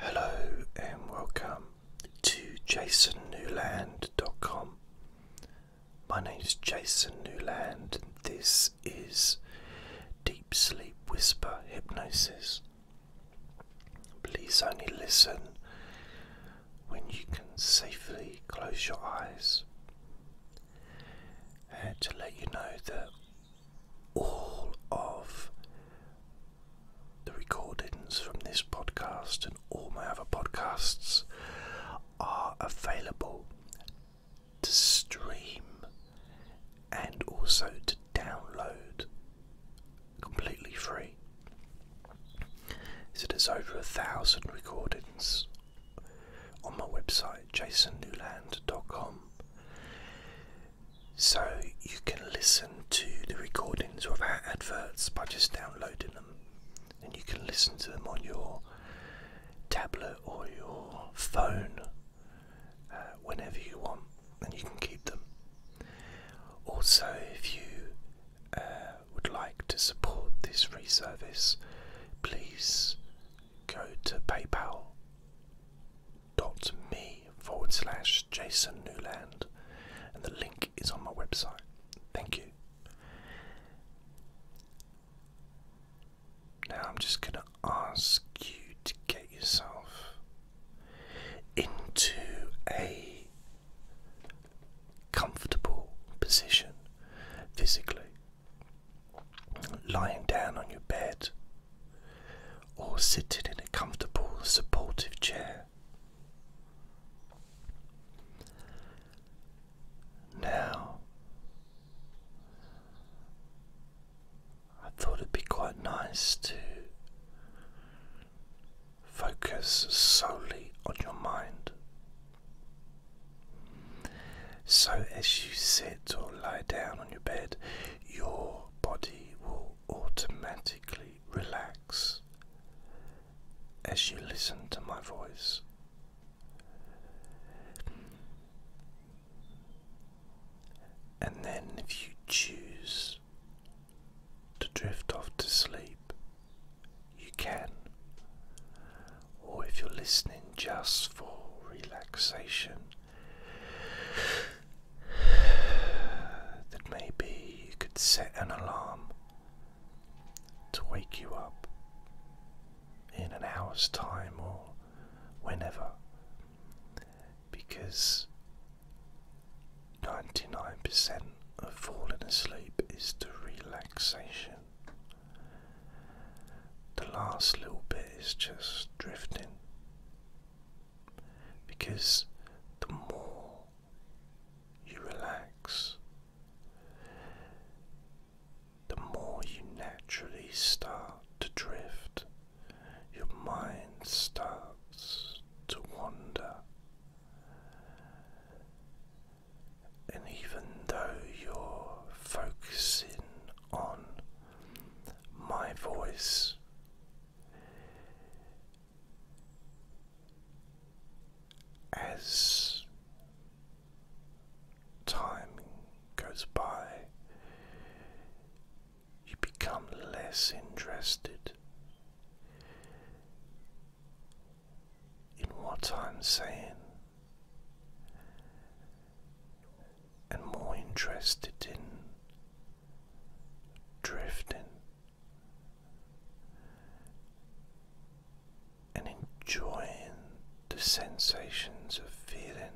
Hello and welcome to jasonnewland.com. My name is Jason Newland and this is Deep Sleep Whisper Hypnosis. Please only listen when you can safely close your eyes. And to let you know that all of the recordings from this podcast and all my other podcasts are available to stream and also to download completely free. So there's over a thousand recordings on my website jasonnewland.com. So you can listen to the recordings without adverts by just downloading them. And you can listen to them on your tablet or your phone uh, whenever you want, and you can keep them. Also, if you uh, would like to support this free service, please go to PayPal dot me forward slash Jason Newland, and the link is on my website. Thank you. Now I'm just going to ask you to get yourself into a comfortable position physically. Lying down on your bed or sitting in a comfortable, supportive chair. Now, I thought it'd be quite nice to focus solely on your mind. So, as you sit or lie down on your bed, your body will automatically relax as you listen to my voice. And then, if you choose to drift off to sleep, you can. Or if you're listening just for relaxation, that maybe you could set an alarm to wake you up in an hour's time or whenever because 99% of falling asleep is the relaxation. The last little bit is just drifting because the more you relax, the more you naturally start to drift, your mind starts to wander. And even though you're focusing on my voice as time goes by, you become less interested in what I'm saying and more interested in drifting and enjoying the sensations of feeling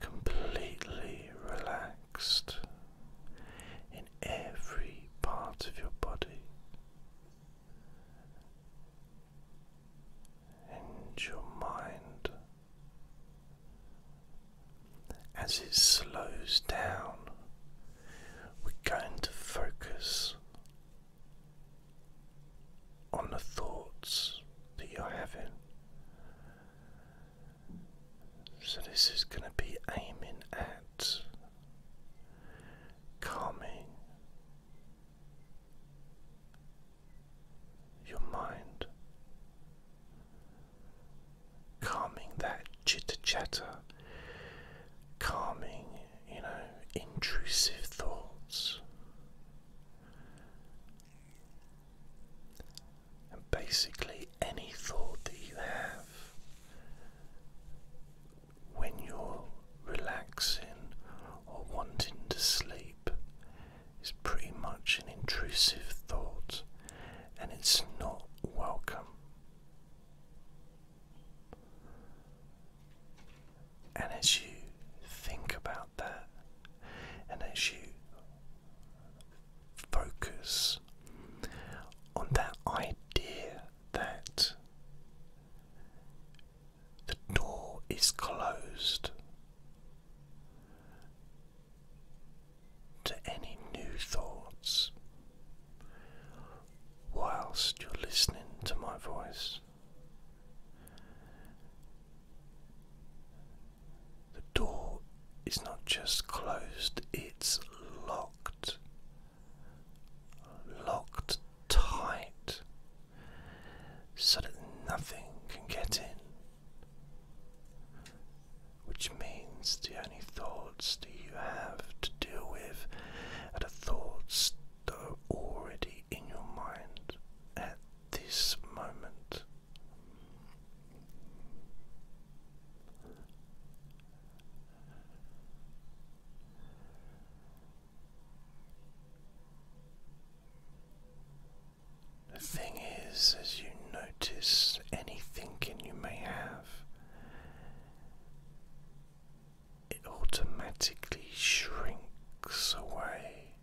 completely relaxed in every part of your body. And your mind as it slows down, we're going to focus on the thoughts that you're having. So, this is going to be aiming at calming your mind calming that chitter chatter, calming, you know, intrusive thoughts. And basically, any thought that you have when you're relaxing or wanting to sleep, is pretty much an intrusive thought and it's not welcome. And as you think about that, and as you focus on that idea that the door is closed to any new thoughts whilst you're listening to my voice. The door is not just closed, it's locked. Locked tight so that nothing can get in. Which means the only thoughts that you have to deal with are the thoughts that are already in your mind at this moment. The thing is, as you notice any thinking you may have, it automatically shrinks away.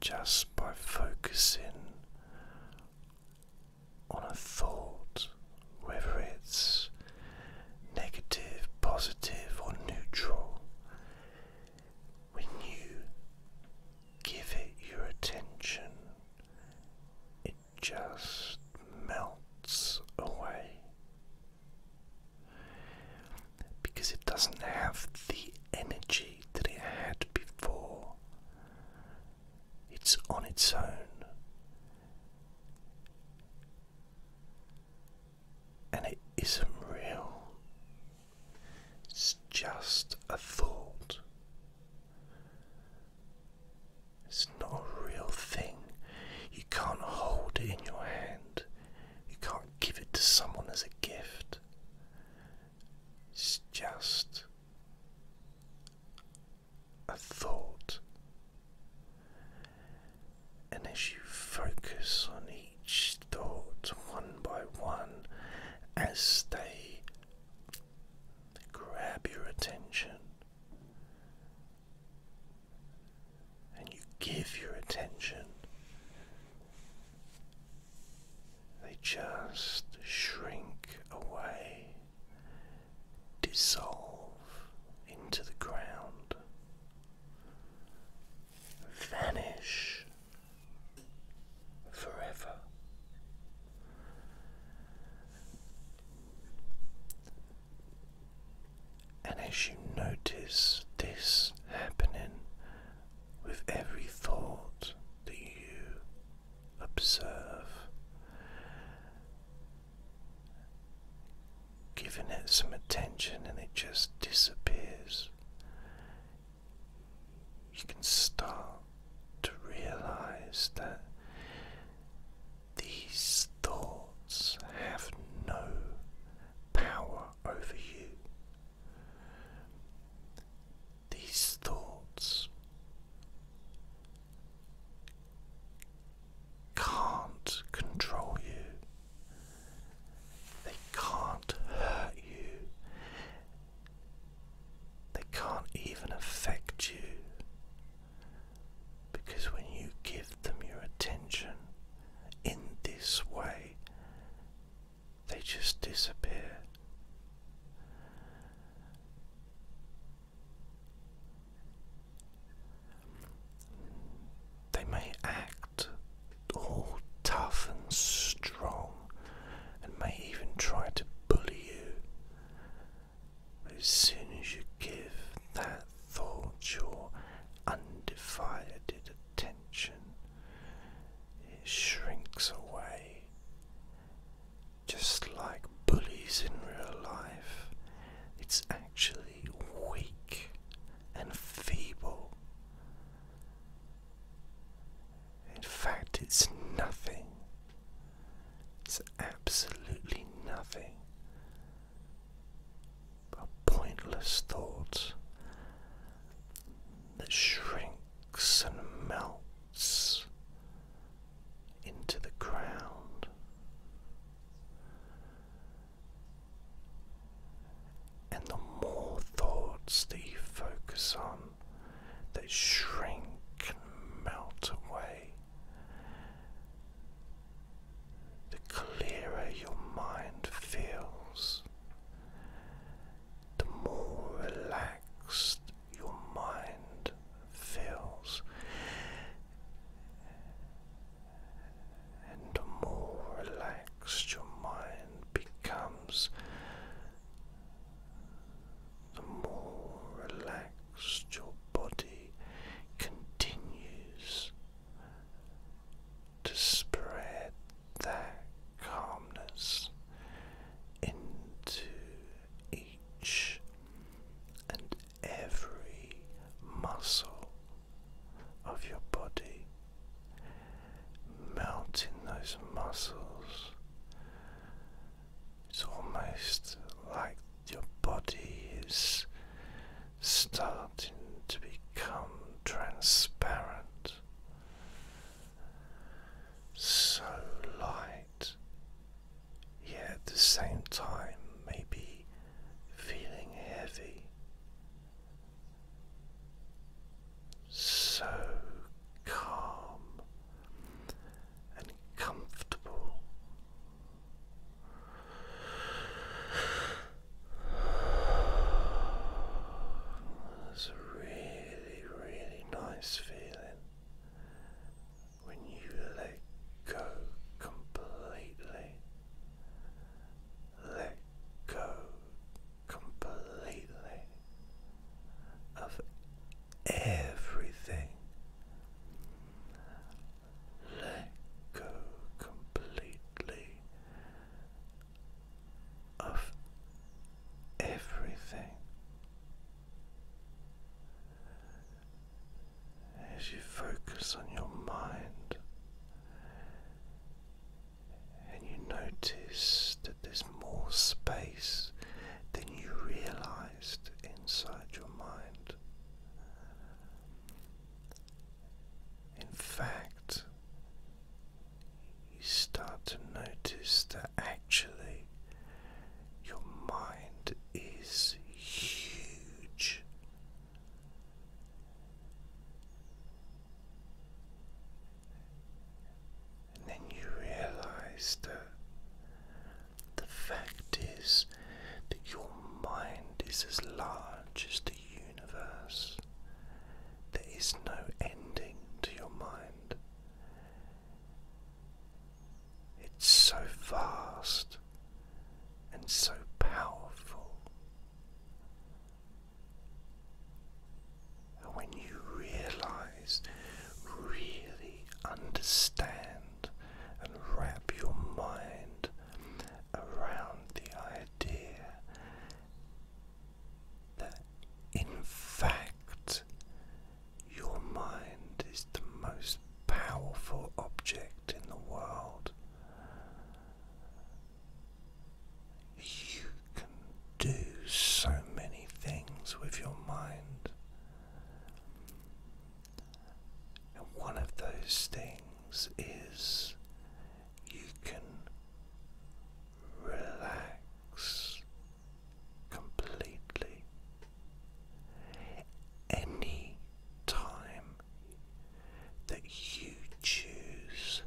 Just by focusing on a thought, whether it's negative, positive, or neutral, when you give it your attention, it just melts away because it doesn't have the energy that it had before. It's on its own and it isn't real. It's just a thought. It's not a real thing. You can't hold it in your hand. You can't give it to someone as a gift. It's just a thought. And as you focus on each thought one by one, as they grab your attention, and you give your attention, they just shrink away, dissolve into the ground vanish forever. And as you notice this happening with every thought that you observe, giving it some attention and it just disappears. You can start to realize that these thoughts have no power over you. These thoughts can't control you. They can't hurt you. They can't even affect you. Because when you give them your attention in this way, they just disappear. They may act all tough and strong and may even try to bully you. But as soon as you give that thought your undivided attention, it shrinks away. Just like bullies in real life, it's actually weak and feeble. In fact, it's nothing. It's absolutely nothing but pointless thought that shrinks and melts into the ground. And the more thoughts that you focus on, they shrink and melt away. The clearer your mind feels, the more relaxed your mind feels and the more relaxed your mind becomes, the more relaxed your body continues to spread that calmness into each and every muscle of your body melting those muscles. It's almost like your body is starting to become transparent, so light, yet at the same time, maybe feeling heavy so calm and comfortable. It's a really, really nice feeling when you let go completely let go completely of everything. Let go completely of everything. As you focus on your mind, and you notice that there's more space than you realized inside your mind. In fact, you start to notice that actually your mind is huge and then you realize that the fact is that your mind is as large as the universe. There is no ending to your mind. It's so vast and so powerful when you realize, really understand, and wrap your mind around the idea that in fact your mind is the most powerful object in the world. You can do so many things with your mind. And one of those things is you can relax completely. Any time that you choose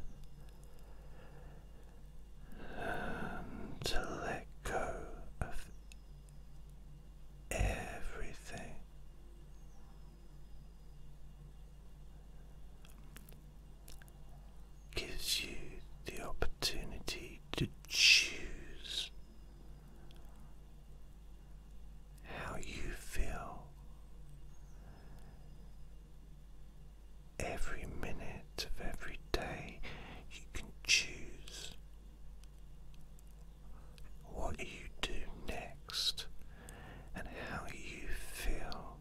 um, to let go of everything. Gives you the opportunity to choose how you feel, Every minute of every day, you can choose what you do next and how you feel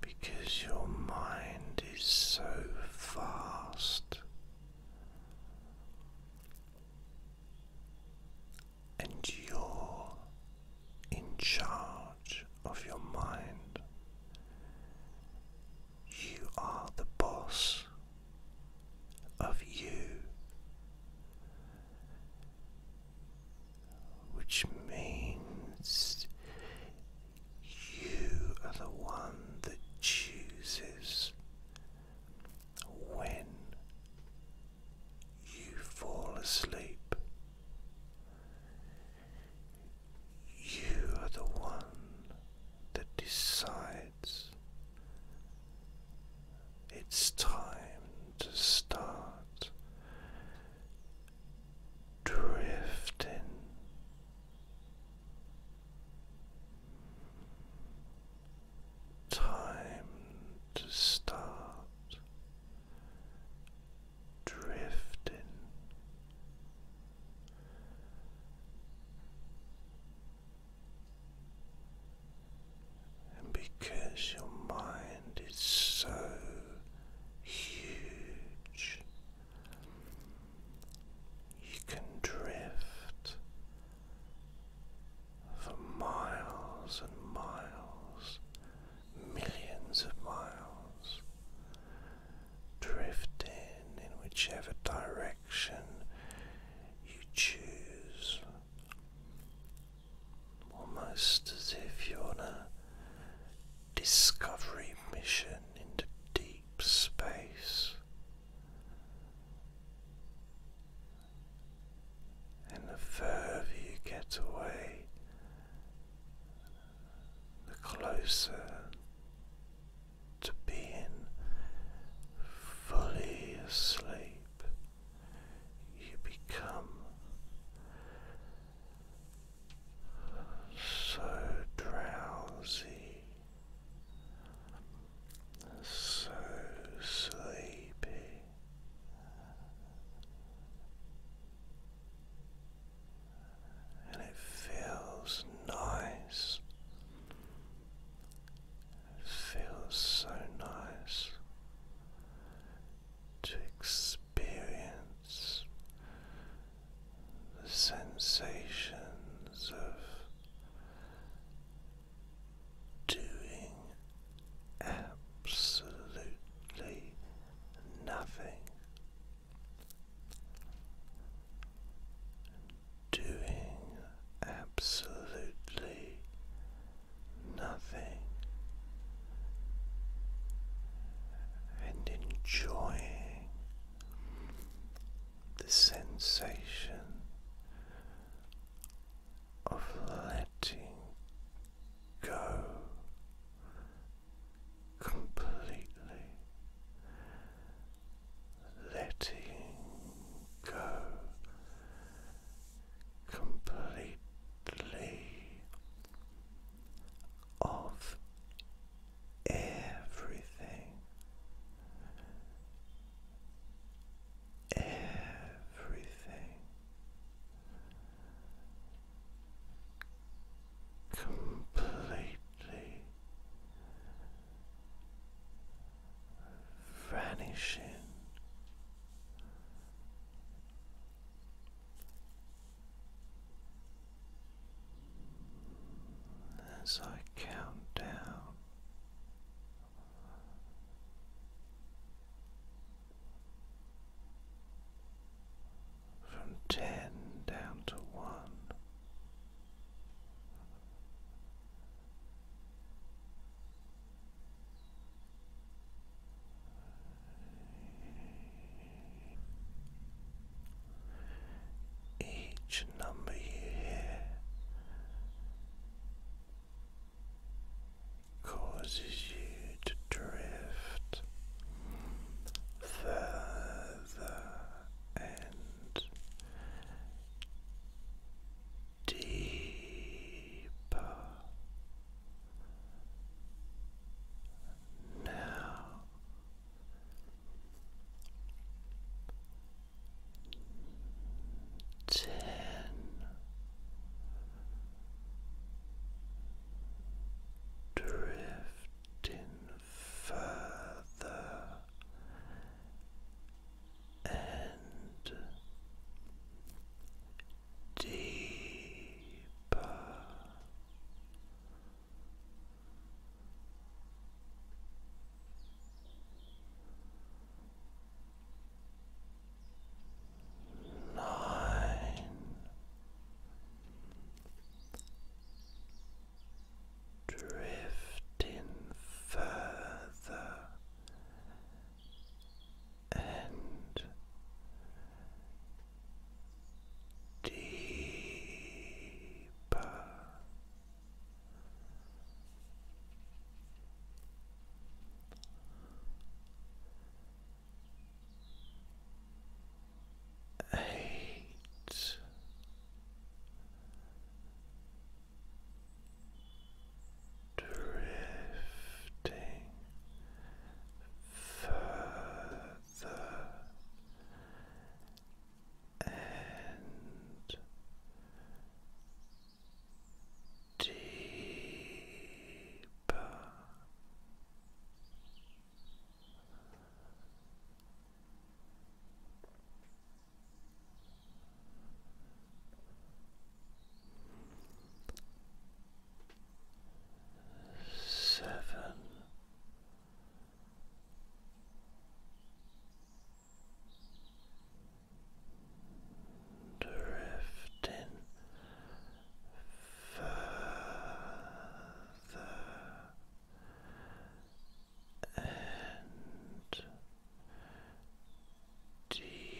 because your mind is so fast and you're in charge of your mind. You are the boss of you, which means you are the one that chooses when you fall asleep. You are the one that decides it's time to start drifting time to start drifting. And because your mind is so huge, you can drift for miles and miles, millions of miles, drifting in whichever direction you choose, almost as if you're on a discovery mission into deep space. And the further you get away, the closer to being fully asleep you become. So drowsy, so sleepy, and it feels nice. It feels so nice to experience the sensations of doing absolutely nothing, doing absolutely nothing, and enjoying the sensation of letting go completely, letting go completely of everything everything completely vanishing. As I count down from ten down to one. Each number you causes you to drift further and deeper. Now ten. Drifting further and deeper nine, drifting further and deeper eight. Drifting further and deeper seven drifting further and deeper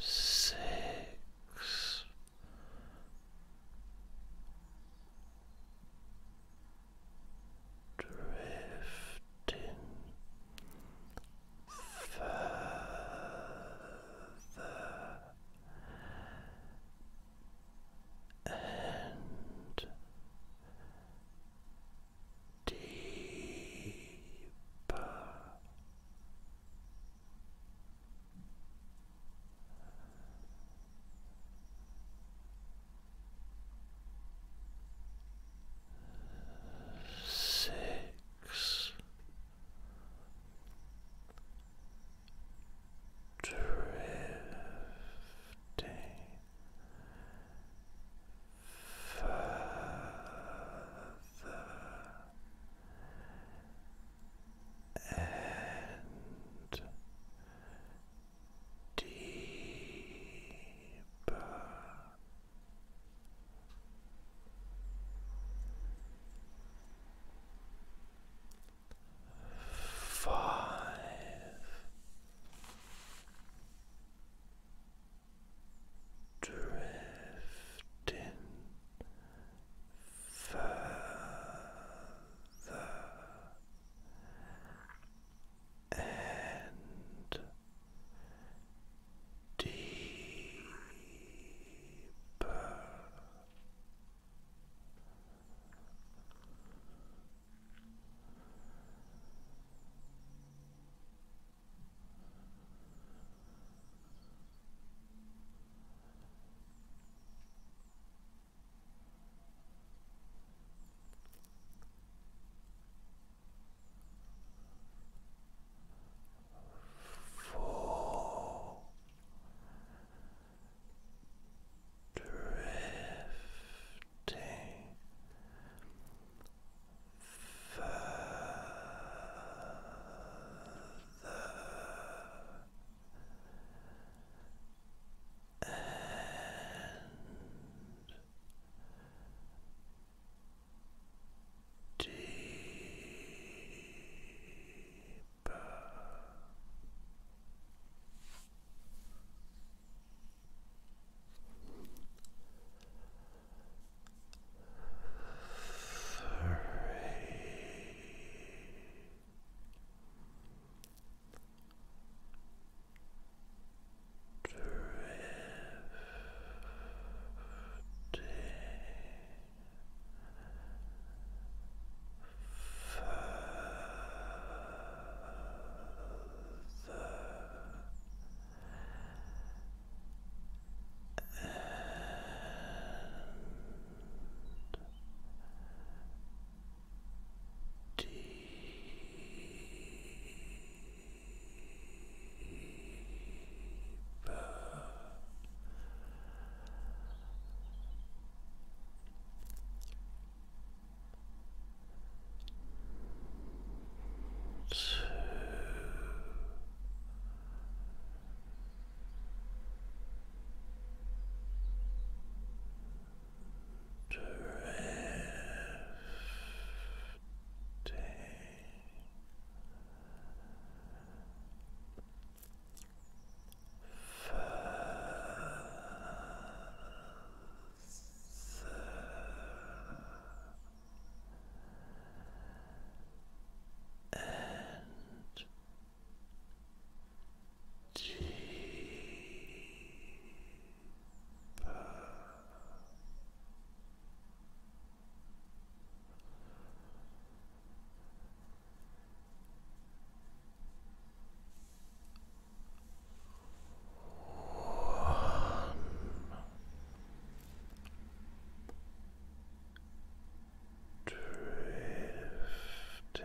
six. Drifting further and deeper six drifting further and deeper. Five drifting further and deeper. Four. Drifting and deeper. Further and deep. Two drifting further and deeper drifting further and deeper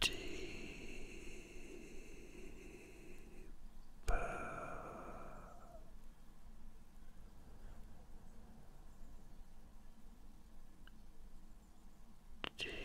deeper deeper deeper